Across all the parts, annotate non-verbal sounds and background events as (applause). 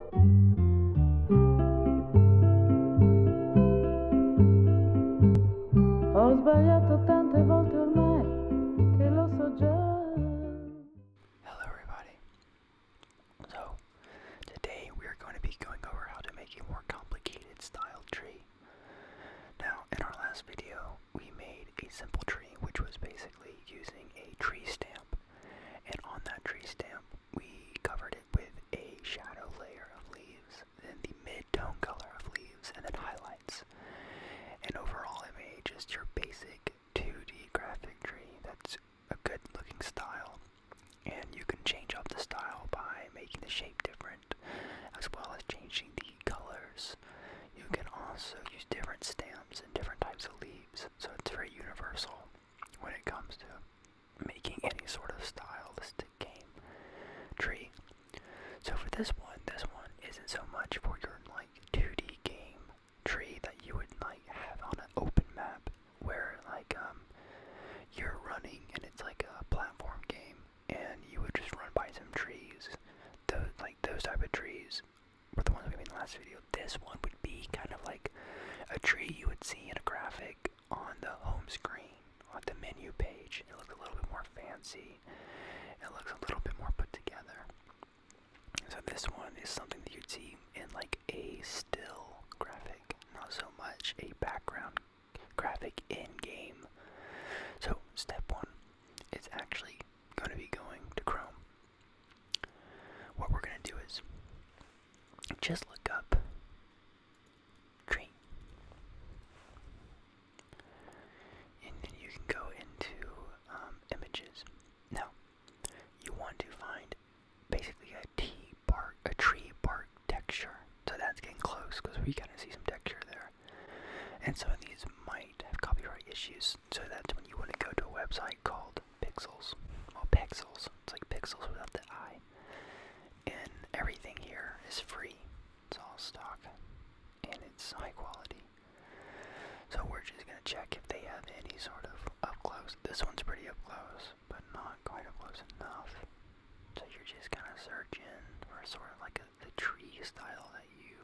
Hello everybody. So, today we are going to be going over how to make a more complicated style tree. Now, in our last video, we made a simple tree which was basically using a tree stamp. And on that tree stamp, we covered it with a shadow layer of leaves, then the mid-tone color of leaves, and then highlights. And overall image is your basic 2D graphic tree that's a good looking style. And you can change up the style by making the shape different, as well as changing the colors. You can also use different stems and different types of leaves, so it's very universal when it comes to making any sort of stylistic game tree. So for this one, this one isn't so much for your like 2D game tree that you would like have on an open map where like um you're running and it's like a platform game and you would just run by some trees. Those like those type of trees were the ones we made in the last video. This one would be kind of like a tree you would see in a graphic on the home screen, on the menu page. It looks a little bit more fancy. It looks a little bit more put together. So this one is something that you'd see in like a still graphic, not so much a background graphic in game. So step one, it's actually going to be going to Chrome. What we're going to do is just look up train. And then you can go into um, images. Now, you want to find basically a T bark, a tree bark texture. So that's getting close because we kind of see some texture there. And some of these might have copyright issues. So that's when you want to go to a website called pixels. Well, pixels. It's like pixels without the I. And everything here is free. It's all stock. And it's high quality. So we're just going to check if they have any sort of up close. This one's pretty up close, but not quite up close enough. So you're just gonna search in for sort of like a, the tree style that you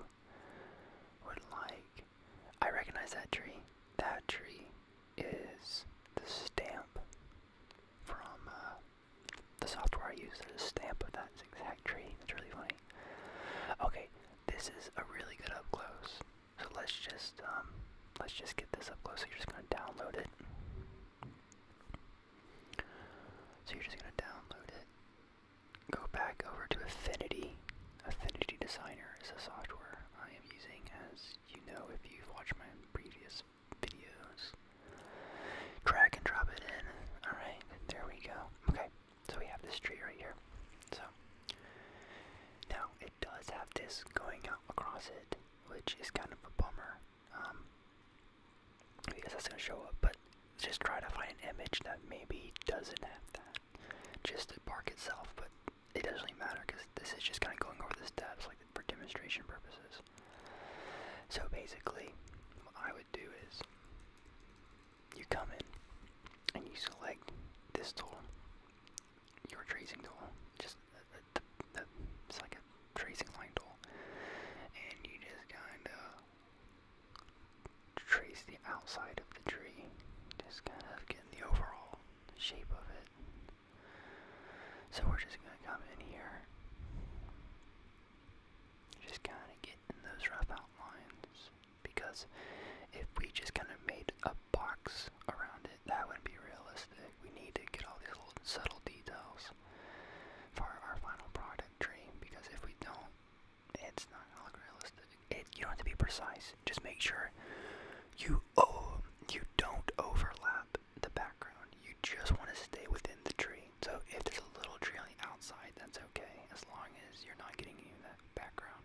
would like. I recognize that tree. That tree is the stamp from uh, the software I use that is a stamp of that zigzag tree. That's really funny. Okay, this is a really good up close. So let's just um, let's just get this up close. So you're just gonna download it. So you're just gonna download it. Go back over to Affinity. Affinity Designer is the software I am using as you know if you've watched my previous videos. Drag and drop it in. Alright, there we go. Okay, so we have this tree right here. So, now it does have this going out across it, which is kind of a bummer. Um, because that's going to show up, but just try to find an image that maybe doesn't have that. Just the bark itself, but it doesn't really matter because this is just kind of going over the steps like for demonstration purposes. So basically, what I would do is you come in and you select this tool, your tracing tool, just uh, uh, the, the, it's like a tracing line tool, and you just kind of trace the outside of the tree, just kind of getting the overall shape of it. So we're just going to come in here. Just kind of get those rough outlines. Because if we just kind of made a box around it, that wouldn't be realistic. We need to get all these little subtle details for our final product tree. Because if we don't, it's not going to look realistic. It, you don't have to be precise just make sure you oh you don't overlap the background. You just want to stay within the tree. So if there's a little tree on the outside, that's okay, as long as you're not getting any of that background.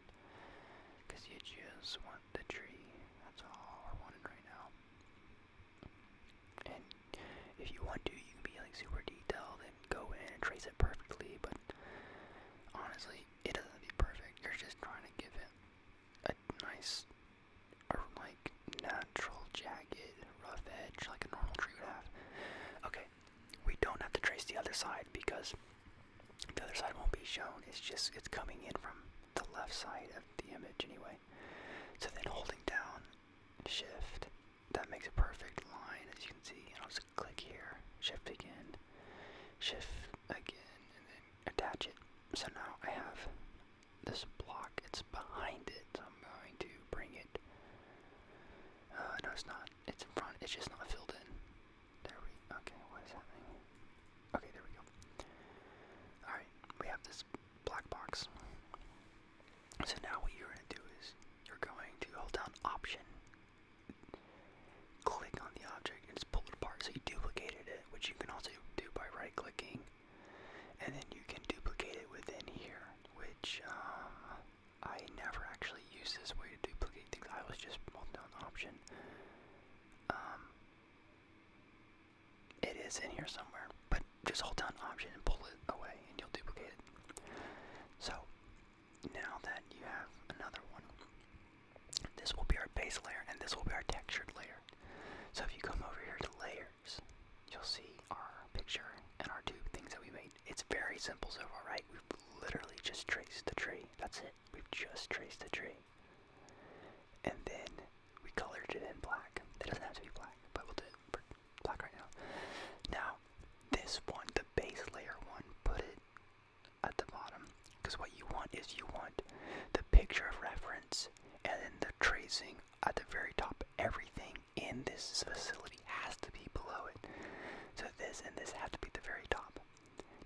Cause you just want the tree. That's all we're wanting right now. And if you want to, you can be like super detailed and go in and trace it perfectly, but honestly, it doesn't have to be perfect. You're just trying to give it a nice like natural jagged rough edge like a normal tree would have. Okay, we don't have to trace the other side because the other side won't be shown. It's just it's coming in from the left side of the image anyway. So then holding down shift, that makes a perfect line as you can see. And I'll just click here, shift again, shift again and then attach it. So now I have this block, it's behind it, I'm going to bring it. Uh, no, it's not. It's in front. It's just not filled in. There we. Okay, what is happening? Okay, there we go. All right, we have this black box. So now what you're gonna do is you're going to hold down Option, click on the object and just pull it apart. So you duplicated it, which you can also do by right clicking. And then you can duplicate it within here, which um, I never actually used this way to duplicate things. I was just holding down option. Um, it is in here somewhere, but just hold down option and pull it away and you'll duplicate it. So now that you have another one, this will be our base layer and this will be our textured layer. So if you come over here to layers, you'll see our picture and our two things that we made. It's very simple so far, right? We've literally just traced the tree. That's it. We've just traced the tree. And then we colored it in black. It doesn't have to be black, but we'll do black right now. Now, this one, the base layer one, put it at the bottom because what you want is you want the picture of reference and then the tracing at the very top. Everything in this facility has to be below it. So this and this have to be the very top.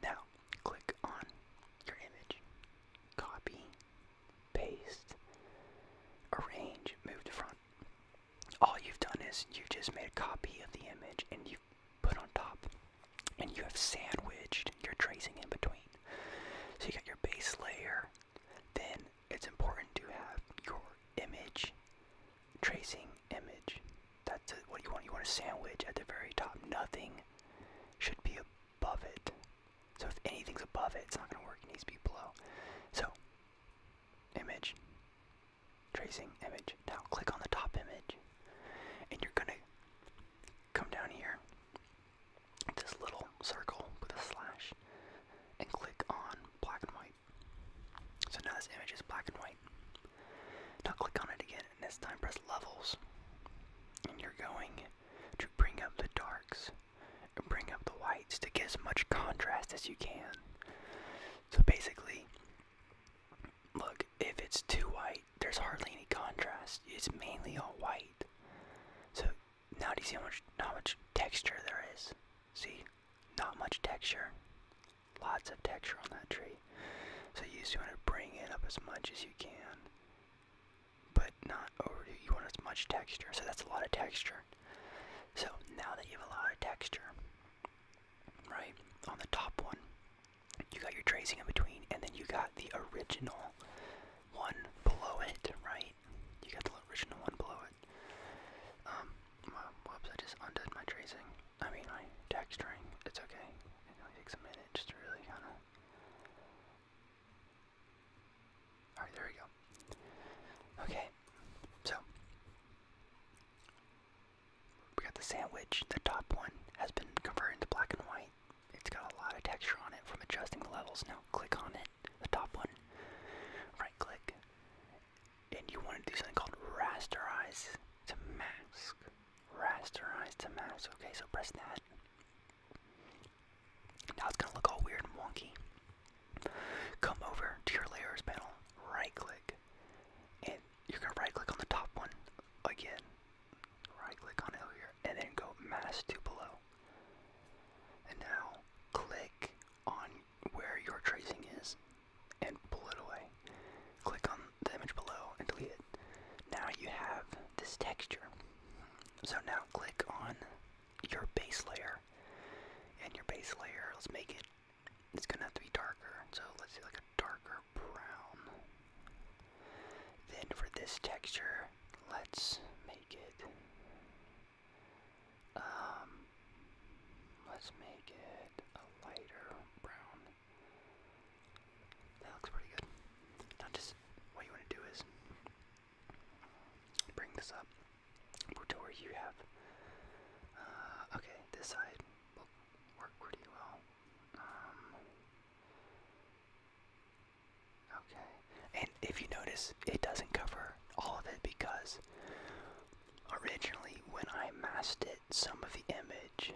Now, click on your image, copy, paste, arrange, move to front. All you've done is you've just made a copy of the image and you put on top and you have sandwiched your tracing in between. So you got your base layer, then it's important to have your image, tracing image. That's what you want. You want a sandwich at the very top. Nothing should be above it. So if anything's above it, it's not going to work. It needs to be below. So, image, tracing image. Now click on the top image, and you're going to come down here, this little circle with a slash, and click on black and white. So now this image is black and white. Now click on it again, and this time press levels. And you're going to bring up the darks and bring up the whites to get as much contrast as you can. So basically, look, if it's too white, there's hardly any contrast. It's mainly all white. So now do you see how much how much texture there is? See? Not much texture. Lots of texture on that tree. So you just want to bring it up as much as you can. But not over you want as much texture. So that's a lot of texture. So now that you have a lot of texture, right, on the top one, you got your tracing in between, and then you got the original one below it, right? You got the original one below it. Um, whoops, I just undid my tracing. I mean, my tag It's okay. It only takes a minute just really kind of. Alright, there we go. Okay, so. We got the sandwich. The top one has been converted to black and white it's got a lot of texture on it from adjusting the levels. Now click on it, the top one, right click, and you want to do something called rasterize to mask. Rasterize to mask. Okay, so press that. Now it's gonna look all weird and wonky. Come over to your layers panel, right click, and you're gonna right click on the top one again right click on it here, and then go mass to below. And now click on where your tracing is and pull it away. Click on the image below and delete it. Now you have this texture. So now click on your base layer. And your base layer, let's make it, it's gonna have to be darker. So let's do like a darker brown. Then for this texture, let's make it um let's make it a lighter brown. That looks pretty good. just what you want to do is bring this up to where you have uh, okay, this side will work pretty well. Um, Okay. And if you notice, it doesn't cover all of it because originally when I masked it, some of the image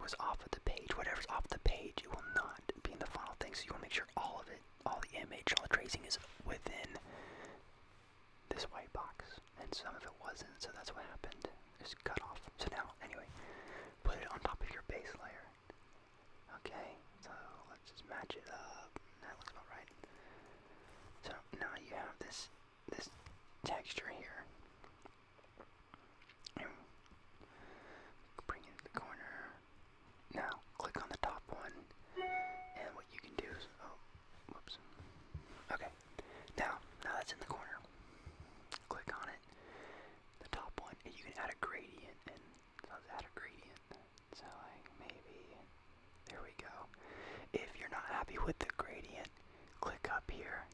was off of the page. Whatever's off the page, it will not be in the final thing. So you want to make sure all of it, all the image, all the tracing is within this white box. And some of it wasn't, so that's what happened. Just cut off. So now, anyway, put it on top of your base layer. Okay, so let's just match it up. That looks alright. So now you have this this texture here. And bring it the corner. Now click on the top one, and what you can do is oh, whoops. Okay, now now that's in the corner. Click on it, the top one, and you can add a gradient, and so let's add a gradient. So like maybe, there we go. If you're not happy with the gradient, click up here.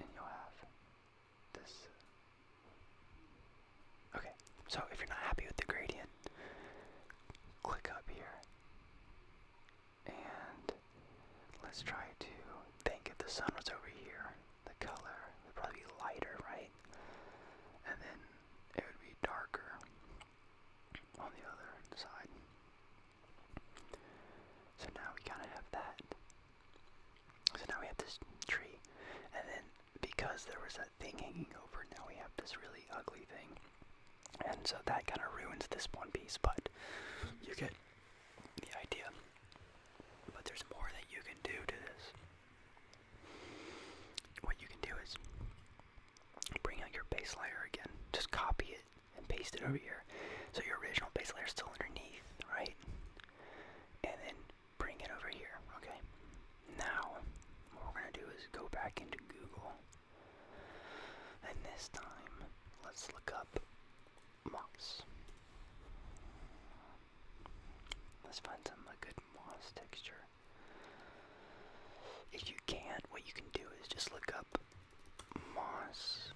And you'll have this Okay, so if you're not happy with the gradient, click up here. And let's try to think if the sun was over here, the color would probably be lighter, right? And then it would be darker on the other side. So now we kind of have that. So now we have this tree, and then because there was that thing hanging over, now we have this really ugly thing. And so that kind of ruins this one piece, but you get the idea. But there's more that you can do to this. What you can do is bring out your base layer again, just copy it and paste it over mm-hmm. here. So your original base layer is still underneath, right? And then bring it over here, okay? Now, what we're going to do is go back into Google. And this time, let's look up moss. Let's find some good moss texture. If you can't, what you can do is just look up moss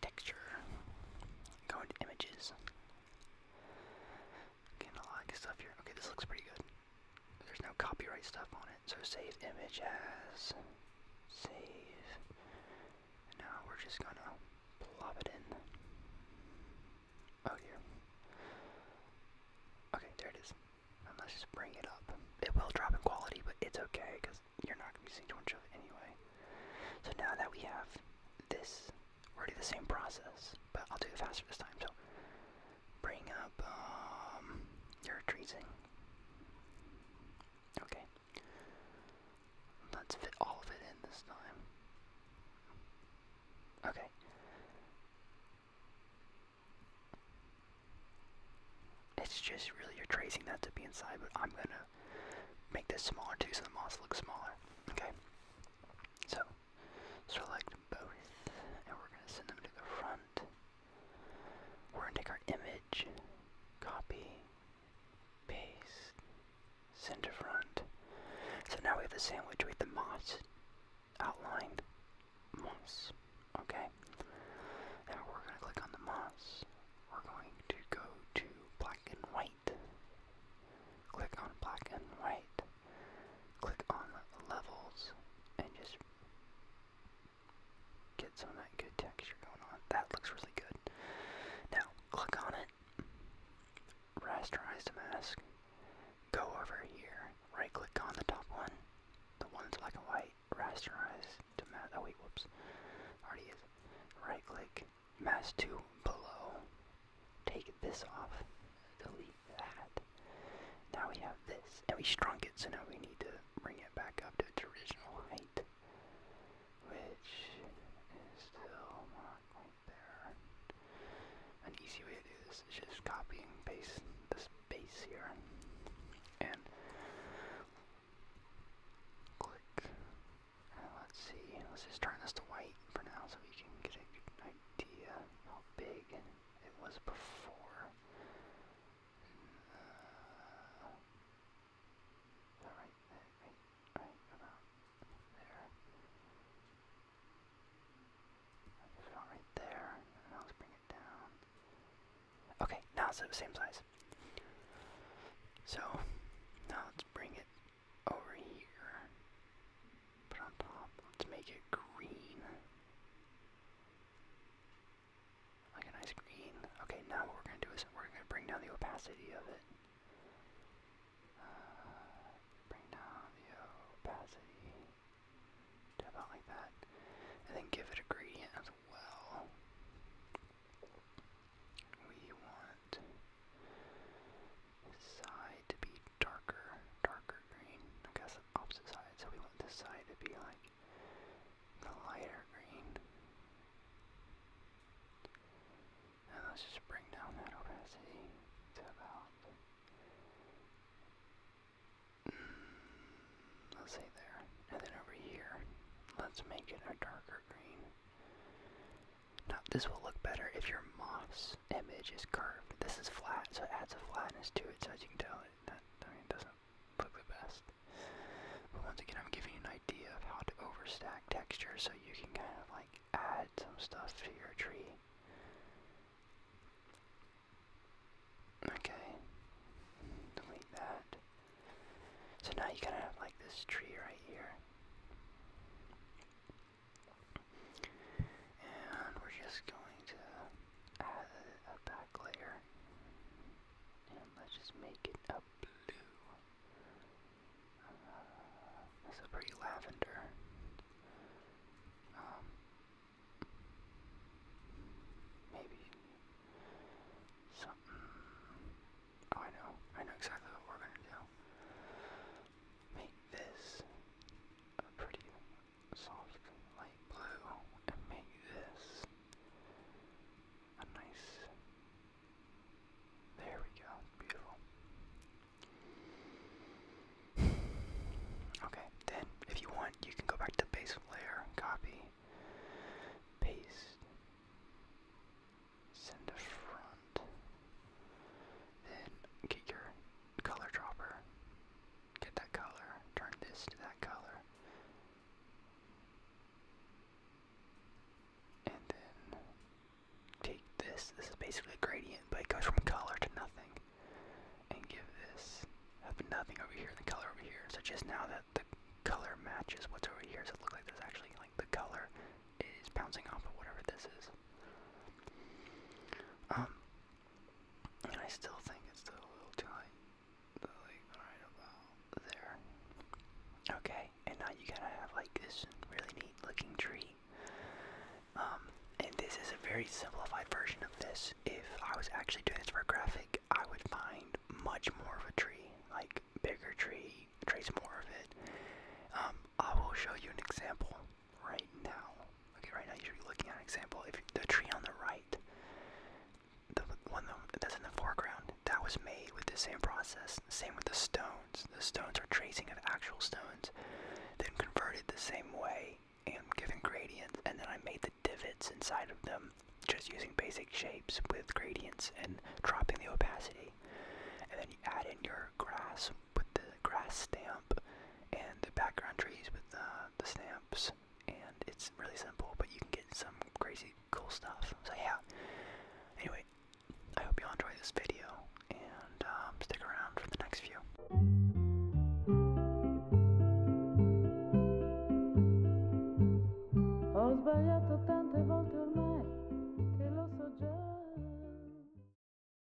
texture. Go into images. Getting a lot of stuff here. Okay, this looks pretty good. There's no copyright stuff on it. So save image as. Save. Now we're just gonna plop it in. Oh, here. Okay, there it is. let's just bring it up. It will drop in quality, but it's okay because you're not gonna be seeing too much of it anyway. So now that we have this we're doing the same process, but I'll do it faster this time. So bring up um, your tracing. Okay. Let's fit all of it in this time. Okay. It's just really your tracing that to be inside, but I'm gonna make this smaller too so the moss looks smaller. Okay. So select both, and we're going to send them to the front. We're going to take our image, copy, paste, send to front. So now we have the sandwich with the moss outline. Moss. Okay. Now we're going to click on the moss. We're going to go to black and white. Click on black and white click on levels and just get some that good texture going on. That looks really good. Now, click on it, rasterize the mask, go over here, right click on the top one, the one that's black and white, rasterize to mask. Oh, wait, whoops. Already is. Right click, mask to below, Take this off. Delete that. Now we have this. And we shrunk it, so now we need to bring it back up to its original height. Which is still not quite there. An easy way to do this is just copy and paste the base here. And click. let's see. Let's just turn this to white for now so we can get a good idea how big it was before. Uh, right, right, about there. Put it on right there, and I'll bring it down. Okay, now it's the same size. So, now let's bring it over here. Put on top. Let's make it green. Like a nice green. Okay, now what we're gonna do is we're gonna bring down the opacity of it. Uh, bring down the opacity about like that. And then give it a gradient as well. We want side to be darker, darker green. I guess the opposite side, so we want this side to be like the lighter green. And let's just bring down that opacity to about, mm, let's say there. And then over here, let's make it a darker green. Now this will look better if your moss image is curved. This is flat, so it adds a flatness to it. So as you can tell, it that, doesn't look the best. But once again, I'm giving an idea of how to overstack texture, so you can kind of like add some stuff to your tree. Okay, delete that. So now you kind of have like this tree right here. And we're just going to add a, back layer. And let's just make it a blue. Uh, pretty lavender. Um, maybe something. Oh, I know. I know exactly what we're gonna do. Make this a pretty soft light blue and make this a nice. There we go, beautiful. (sighs) Okay, then if you want, you can go back to base layer, copy, paste, send to front, then get your color dropper. Get that color, turn this to that color. And then take this, this is basically a gradient, but it goes from color to nothing. And give this, have nothing over here and the color over here. So just now that the color matches what's over here, so it looks like there's actually like the color is bouncing off of whatever this is. Um, I still think it's a little too late, like right about there. Okay, and now you gotta have like this really neat looking tree. Um, and this is a very simplified version of this. If I was actually doing this for a graphic, I would find much more of a tree, like bigger tree, trace more of it. Um, I will show you an example right now. Okay, right now you should be looking at an example. If the tree on the right, the one that's in the foreground, that was made with the same process. Same with the stones. The stones are tracing of actual stones, then converted the same way and given gradients. And then I made the divots inside of them just using basic shapes with gradients and dropping the opacity. And then you add in your grass with the grass stamp and the background trees with the, stamps. And it's really simple, but you can get some crazy cool stuff. So yeah. Anyway, I hope y'all enjoy this video and um, stick around for the next few.